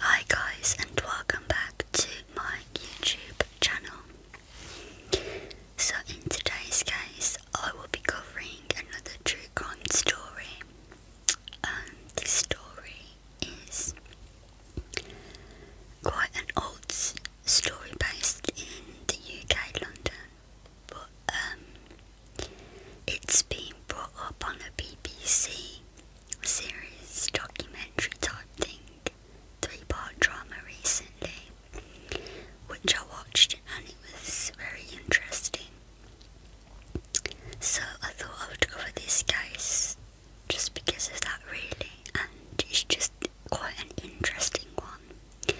Hi guys and welcome back to my YouTube channel. So in today's case I will be covering another true crime story and this story is quite an old story based in the UK London but um it's been brought up on the BBC series documentary type thing, three part drama recently, which I watched and it was very interesting. So I thought I would cover this case just because of that, really, and it's just quite an interesting one,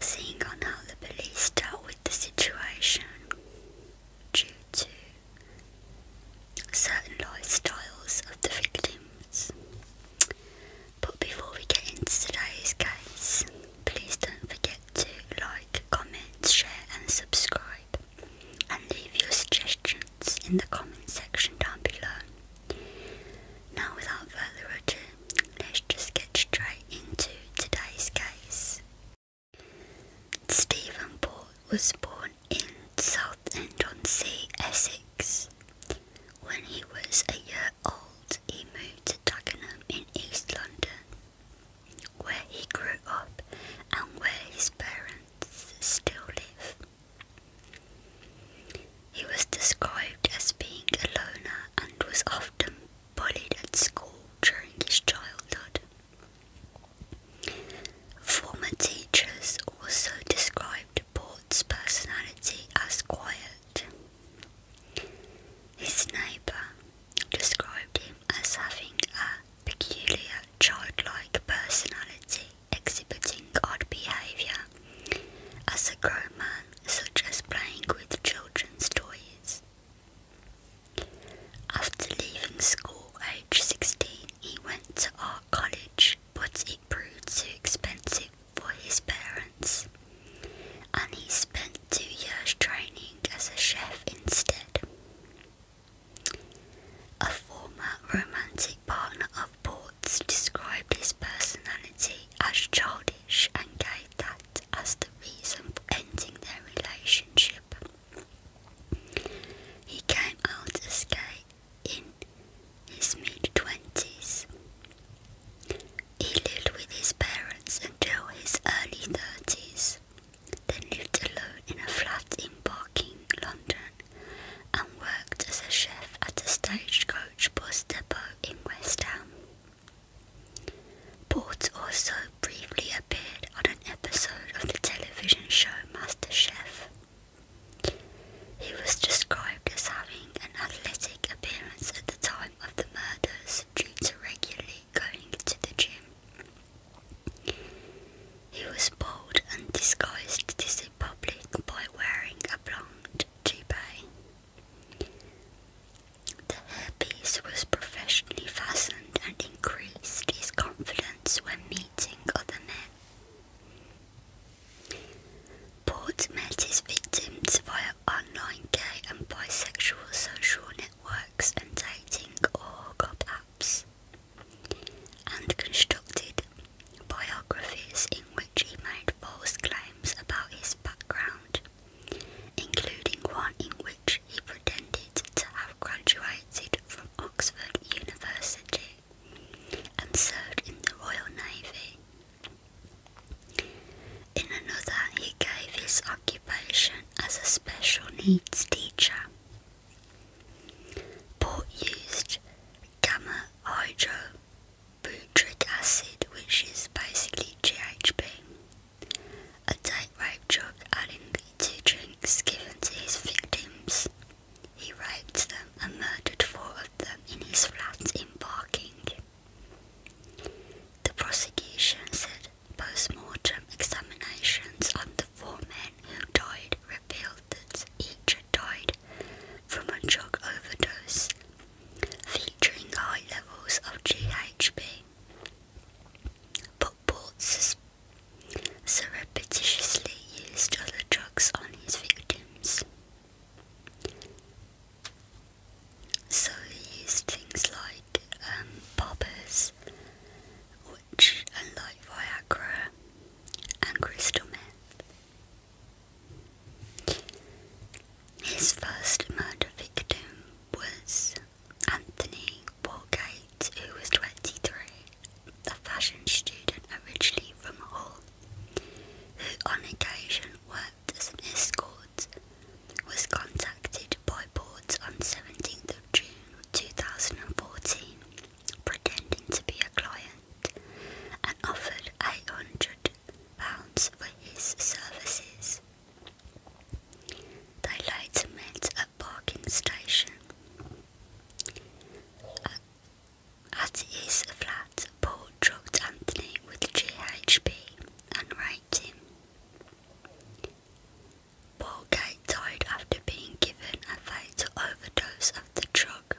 seeing on how the police dealt with the situation due to certain lifestyles of the victims. But before we get into today's case, please don't forget to like, comment, share, and subscribe, and leave your suggestions in the comment section down below. Now, without further ado, let's just get straight into today's case. Stephenport was born in Southend-on-Sea, Essex. When he was a year old, he moved to Dagenham in East London, where he grew up and where his parents still live. He was described as being a loner and was often bullied at school during his childhood. Former teachers also described Port's personality as quiet. His neighbour described him as having a peculiar childlike personality, exhibiting odd behaviour as a grown man, such as playing with children's toys. After leaving school aged 16, he went to art college, but it proved too expensive for his parents, and he spent two years training as a chef instead. A former romantic partner of Port's described his personality as childish and gave that as the reason for ending their relationship. He came out as gay in his mid twenties. He lived with his parents until his early thirties, then lived alone in a flat in Barking, London, and worked as a chef at a stagecoach bus depot in West Ham. Port also briefly appeared on an episode of the television show MasterChef. He was described as having an athletic appearance at the time of the murders due to regularly going to the gym. He was bald and disguised this in public by wearing a blonde toupee. The hairpiece was professionally fastened and increased his confidence when meeting other men. Port met his victims via online gay and bisexual social networks and dating or hookup apps, and constructed biographies in which he made false claims about his background, including one in which he pretended to have graduated from Oxford University and served in the Royal Navy. In another, he gave his occupation as a special needs teacher. Port used gamma hydrobutric acid, which is basically GHB, a tightrope drug adding to drinks given to his victims. He raped them and murdered four of them in his flat in Barking. The prosecution said post-mortem examinations on the four men who died revealed that each had died from a drug overdose, featuring high levels of GHB. But Port's so repetitiously used other drugs on his victims. So he used things like um, poppers, which and Viagra and crystal meth. His first murder victim was Anthony Walgate, who was 23, a fashion student originally from Hull, who on occasion worked as an escort, was contacted by Boards on 17th of June 2014, pretending to be a client, and offered £800 for his services. They later met parking station. Uh, at his flat, Paul drugged Anthony with GHB and raped him. Paul died after being given a fatal overdose of the drug.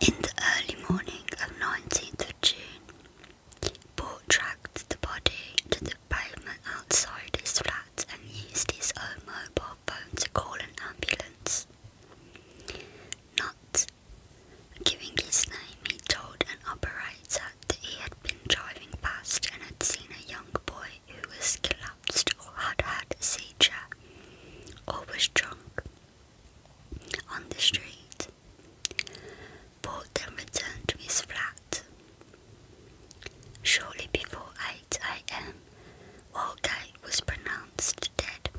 In the early morning of 19th of June, Paul tracked the body to the pavement outside his flat and used his own mobile phone to call an ambulance. Not giving his name, he told an operator that he had been driving past and had seen a young boy who was collapsed or had had a seizure or was drunk on the street. Paul then returned to his flat. Shortly before 8 am, Walgate was pronounced dead.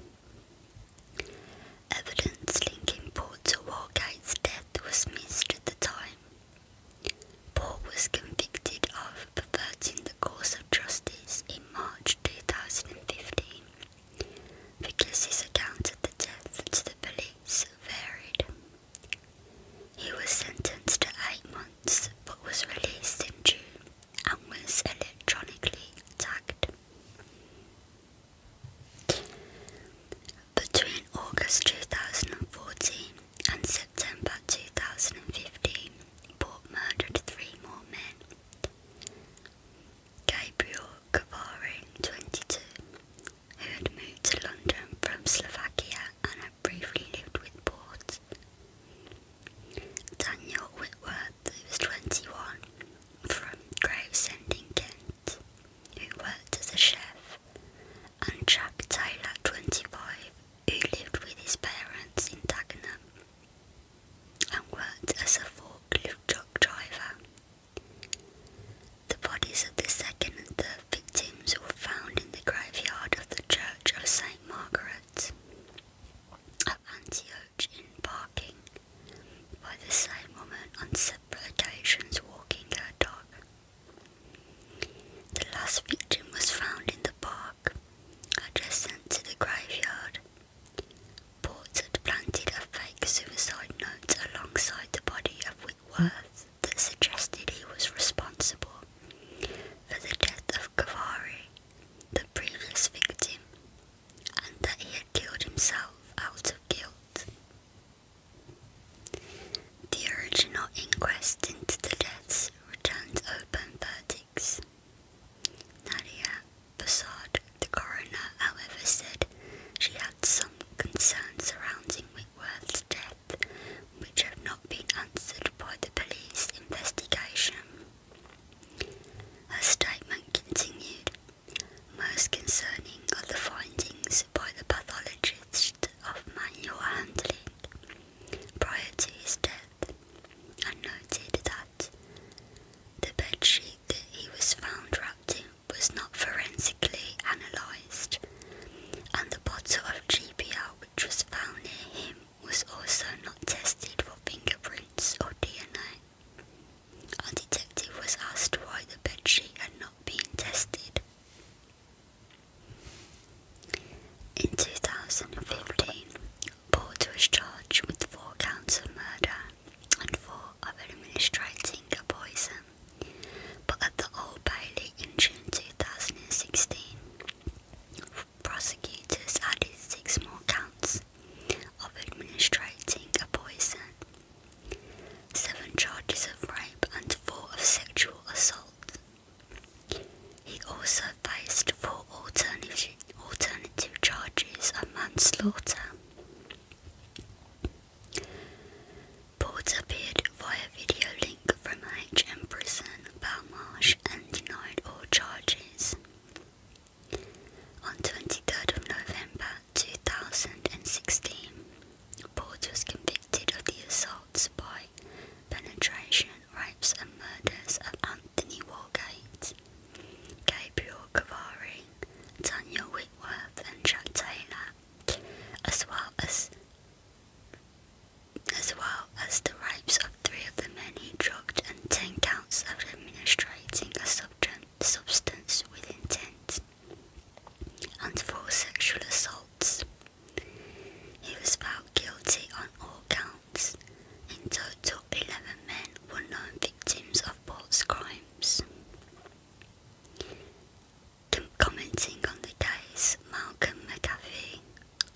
Evidence linking Port to Walgate's death was missed at the time. Port was convicted of perverting the course of justice in March 2015 because his account of the death to the police varied. He was sentenced to eight months but was released in June and was electronically tagged. Between August 2014 and September 2015, Port murdered three more men Gabriel Cavarin, 22, who had moved to London from Slovakia and had briefly lived with Port. Daniel Whitworth, who was 21, from Gravesend in Kent, who worked as a chef, and Jack Taylor, 25, who lived with his parents in Dagenham and worked as a forklift truck driver. The bodies of the second and third victims were found in the graveyard of the Church of St. Margaret of Antioch in Barking by the same woman on separate occasions walking her dog. The last victim was found in the park adjacent to the graveyard. Ports had planted a fake suicide note alongside the body of Whitworth that suggested he was responsible for the death of Kavari, the previous victim, and that he had killed himself out of guilt. The original inquest into the deaths returned open verdicts. Nadia Bassard, the coroner, however, said she had some concern surrounding Whitworth's death which have not been answered by the police investigation. Her statement continued. Most concerning are the findings by the pathologist of manual handling prior to his death, and noted that the bedsheet that he was found wrapped in was not forensically analysed, and the bottle of GBL which was found near him was also not tested for fingerprints or DNA. A detective was asked why the bedsheet had not been tested. In 2015, Porter was charged with four counts of murder and four of administrating a poison. But at the Old Bailey in June 2016, prosecutors added six more counts of administering a poison, seven charges of rape, and four of sexual assault. He also faced four alternative charges of manslaughter. Porter appeared via video link from HM Prison, Belmarsh and denied all charges. On 23rd of November 2016, Porter was convicted of the assaults by penetration, rapes and murders of Anthony Wargate, Gabriel Cavari, Tanya Whitworth and Jack Taylor, as well as as well as the rapes of three of the men he drugged and ten counts of administering a substance with intent, and four sexual assaults. He was found guilty on all counts. In total, 11 men were known victims of both crimes commenting on the case, Malcolm McAvoy,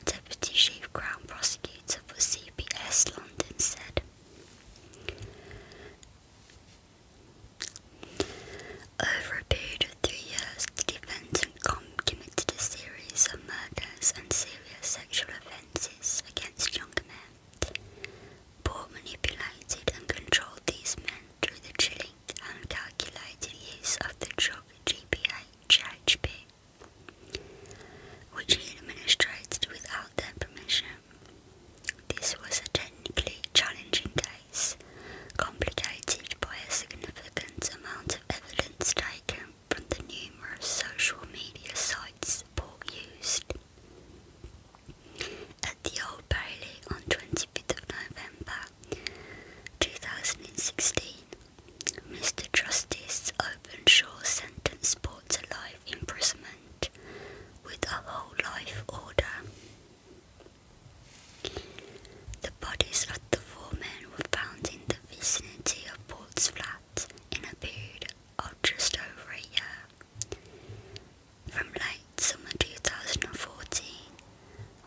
Deputy Chief Crown Prosecutor for CPS London, said. Over a period of three years, the defendant committed a series of murders and serious sexual offences against younger men. Paul manipulated and controlled these men through the chilling and calculated use of the drug gpa which he administered without their permission. This was a technically challenging case, complicated by a significant amount of evidence taken from the numerous social media sites Port used. At the Old Bailey on 25th of November 2016, Mr. Justice Open Shore sentence brought to life imprisonment with a whole life order. The bodies of the four men were found in the vicinity of Port's flat in a period of just over a year, from late summer 2014,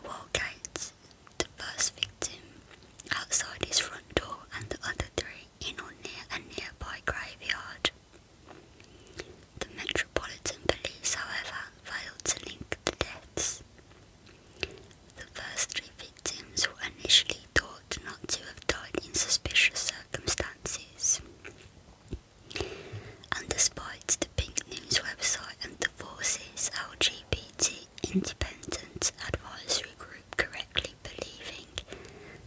Walgate, the first victim, outside his front door and the other three in or near a nearby graveyard. The Metropolitan Police, however, failed to link the deaths. The first three victims were initially thought not to have died in suspicious circumstances. And despite the Pink News website and the Forces LGBT Independent Advisory Group correctly believing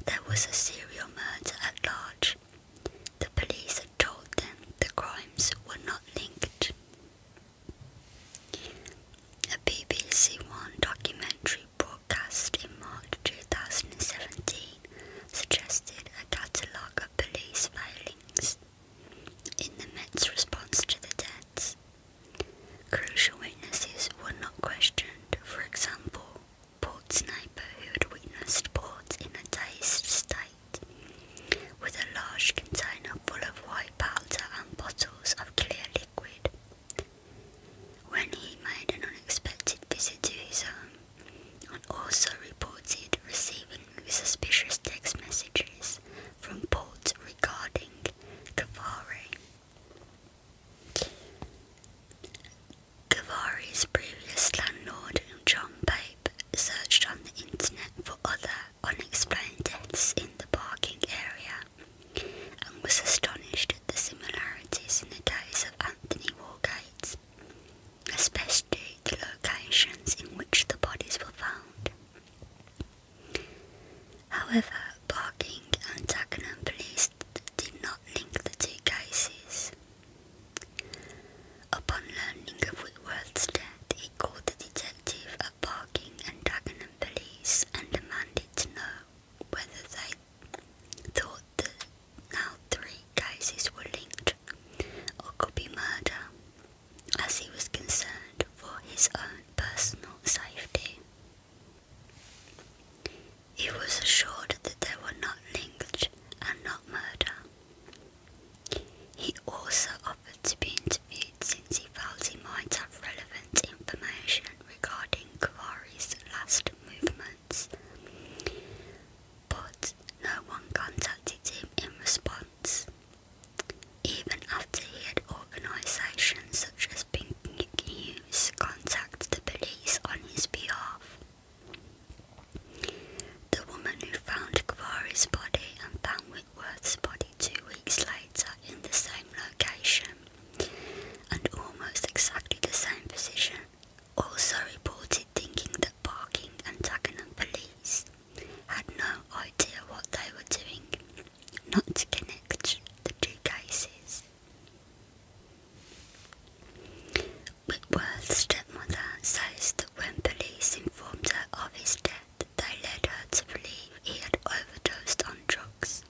there was a serial murder at large. The police had told them the crimes were not linked. A BBC One documentary broadcast in March 2017 suggested a catalogue of police failings in the Met's response to the deaths, crucial witnesses were not questioned, for example, Port's neighbor, who had witnessed Port in a dazed state, with a large container full of white powder and bottles of clear liquid. When he made an unexpected visit to his home, and also reported receiving suspicious text messages, from Port regarding Kavari. Kavari's previous landlord, John Pape, searched on the internet for other unexplained deaths in the parking area and was astonished at the similarities in the case of Anthony Wargate, especially the locations in which the bodies were found. However, parking and Dagenham police did not link the two cases. Upon learning of Whitworth's death, he called the detective at parking and Dagenham police and demanded to know whether they thought the now three cases were linked or could be murder as he was concerned for his own personal safety. He was assured that there were not linked and not murder. He also offered to be interviewed since he felt he might have relevant information regarding Kavari's last movements, but no one contacted him in response. Even after he had organisations such as Pink News contact the police on his behalf. The woman who found Kavari's body and found Whitworth's body two weeks later in the same location and almost exactly the same position also reported thinking that parking and taking Dagenham police had no idea what they were doing, not to connect the two cases. Whitworth's stepmother says that when police informed her of his death, they led her to believe he had overdosed on drugs,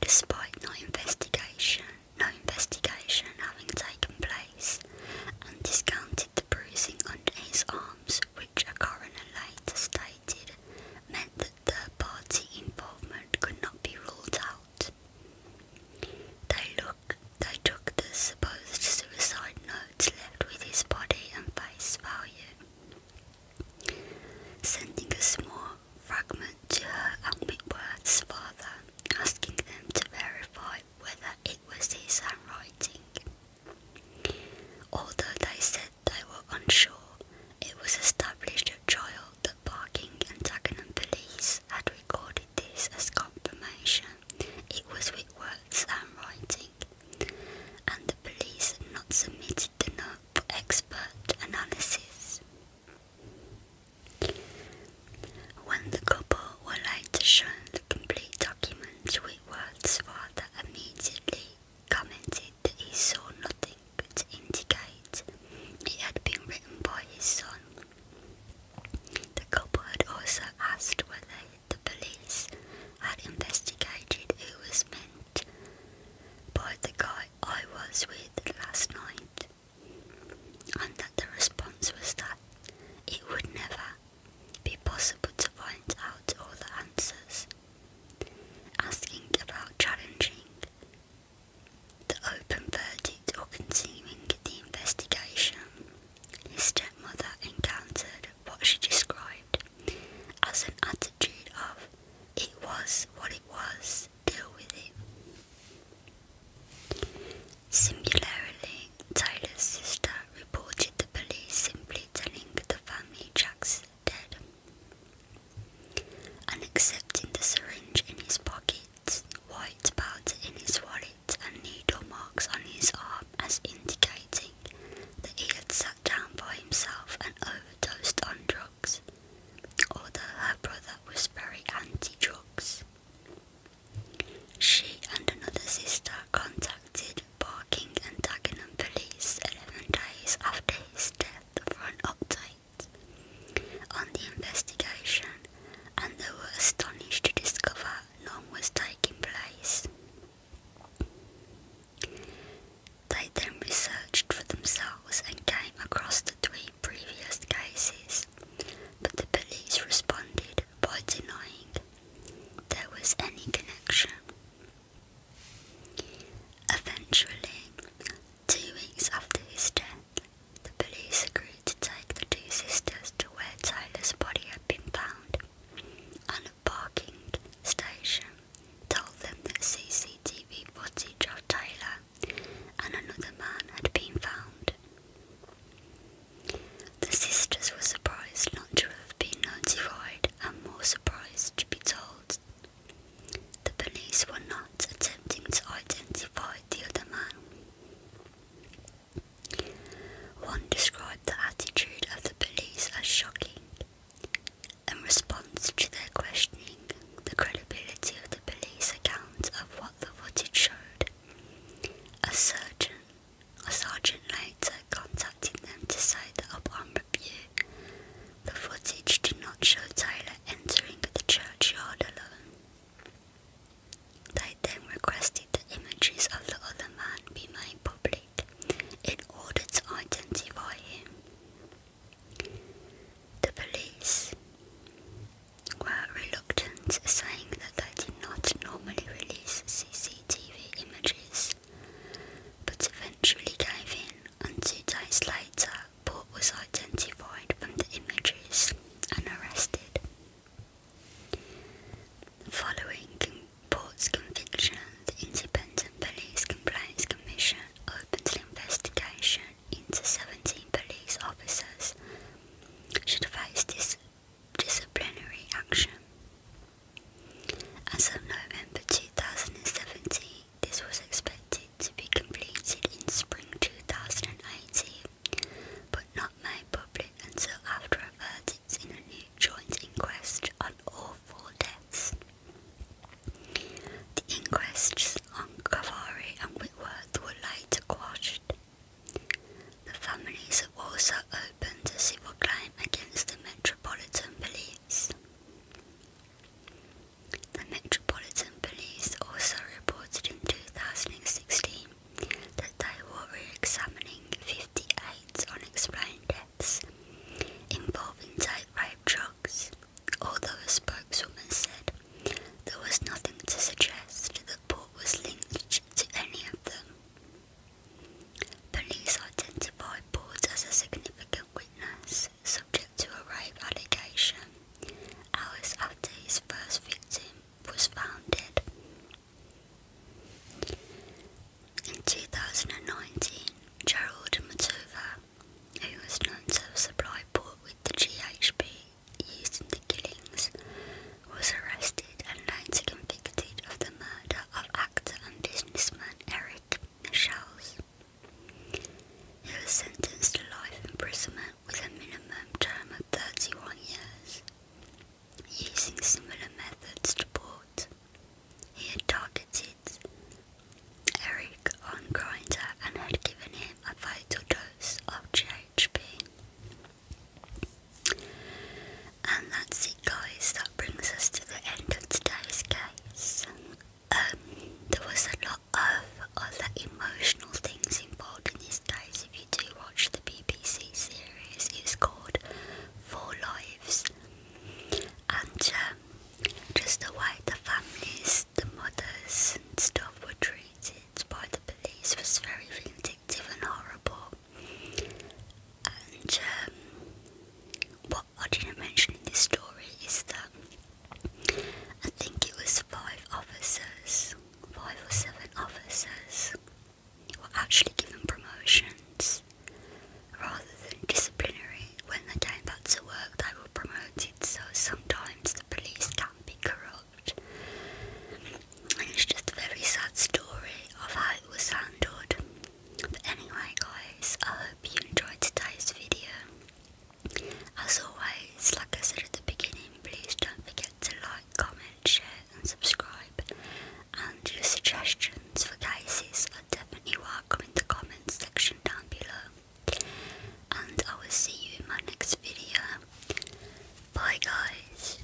despite no investigation, no investigation having taken place, and discounted the bruising under his arms which a coroner later stated meant that third party involvement could not be ruled out. They, look, they took the supposed suicide notes left with his body and face value, sending a small fragment to her and Whitworth's father, asking them to verify whether it was his handwriting. Although they said they were unsure, it was established at trial that parking and Dagenham police had recorded this as confirmation it was with Whitworth's handwriting, and the police had not submitted the note for expert analysis. When the couple were later shown the complete documents, words father immediately commented that he saw nothing to indicate it had been written by his son. The couple had also asked whether the police had investigated who was meant by the guy I was with last night, and that the response was that it would never be possible to find out all the answers. Asking about challenging the open verdict or continuing the investigation, his stepmother encountered what she described as an attitude of it was what it was, deal with it. Similarly, Tyler's sister reported the police, simply telling the family Jack's dead and accepting the syringe in his pocket, white powder in his wallet, and needle marks on his arm as indicating that he had sat down by himself and overdosed on drugs, although her brother was very anti drugs. She and another sister contacted barking and Dagenham police 11 days after his death for an update on the investigation and they were astonished to discover none was taking place. They then researched for themselves and came across the three previous cases, but the police responded by denying there was any connection. Eventually, two weeks after his death, the police agreed to take the two sisters to where Taylor's body had been found, and a parking station told them that CCTV footage of Taylor and another man had been found. The sisters were surprised not to have been notified and more surprised to be told. The police were not attempting to identify the other man. One described the attitude of the police as shocking. In response to their questioning, the credibility of the police account of what the footage showed, a surgeon a sergeant later contacted them to say that upon review, the footage did not show Taylor entering the churchyard alone. They then requested the images of the other man be made public in order to identify him. The police were reluctant, saying that they did not normally release CCTV images but eventually gave in, and two days later, Port was identified from the images and arrested. Following Port's conviction, the Independent Police Complaints Commission opened an investigation into 17 police officers should face this disciplinary action. As of November 2017, this was expected to be completed in spring 2018, but not made public until after a verdict in a new joint inquest on all four deaths. The inquests on Cavari and Whitworth were later quashed. The families also opened a civil claim against the Metropolitan Police. The Metropolitan Police also reported in 2016 that they were re-examining 58 unexplained deaths involving type rape drugs, although a spokeswoman said there was nothing to suggest that Port was linked to any of them. Police identified Port as a significant witness, subject to a rape allegation, hours after his first victim was found dead. In 2019, Gerald Matova, who was known to have supplied Port with the GHB used in the killings, was arrested and later convicted of the murder of actor and um, businessman Eric Michals. He was sentenced to life imprisonment with a minimum term of 31 years. Using similar methods to Port, he had targeted Eric on Grinder and had given him a fatal dose of GHB. And that's it, guys. That brings us to the end of today's case. Um, there was a lot of other emotional things involved in this case. If you do watch the BBC series, it's called Four Lives, and um, just the way the families, the mothers, and stuff were treated by the police was very vindictive vindictive and horrible. And um, what I didn't mention in this story is that I think it was five officers, five or seven officers, were actually given promotions rather than disciplinary. When they came back to work, they were promoted. So sometimes the police can be corrupt, and it's just a very sad story of how it was handled anyway guys, I hope you enjoyed today's video. As always, like I said at the beginning, please don't forget to like, comment, share and subscribe. And your suggestions for cases are definitely welcome in the comments section down below. And I will see you in my next video. Bye guys.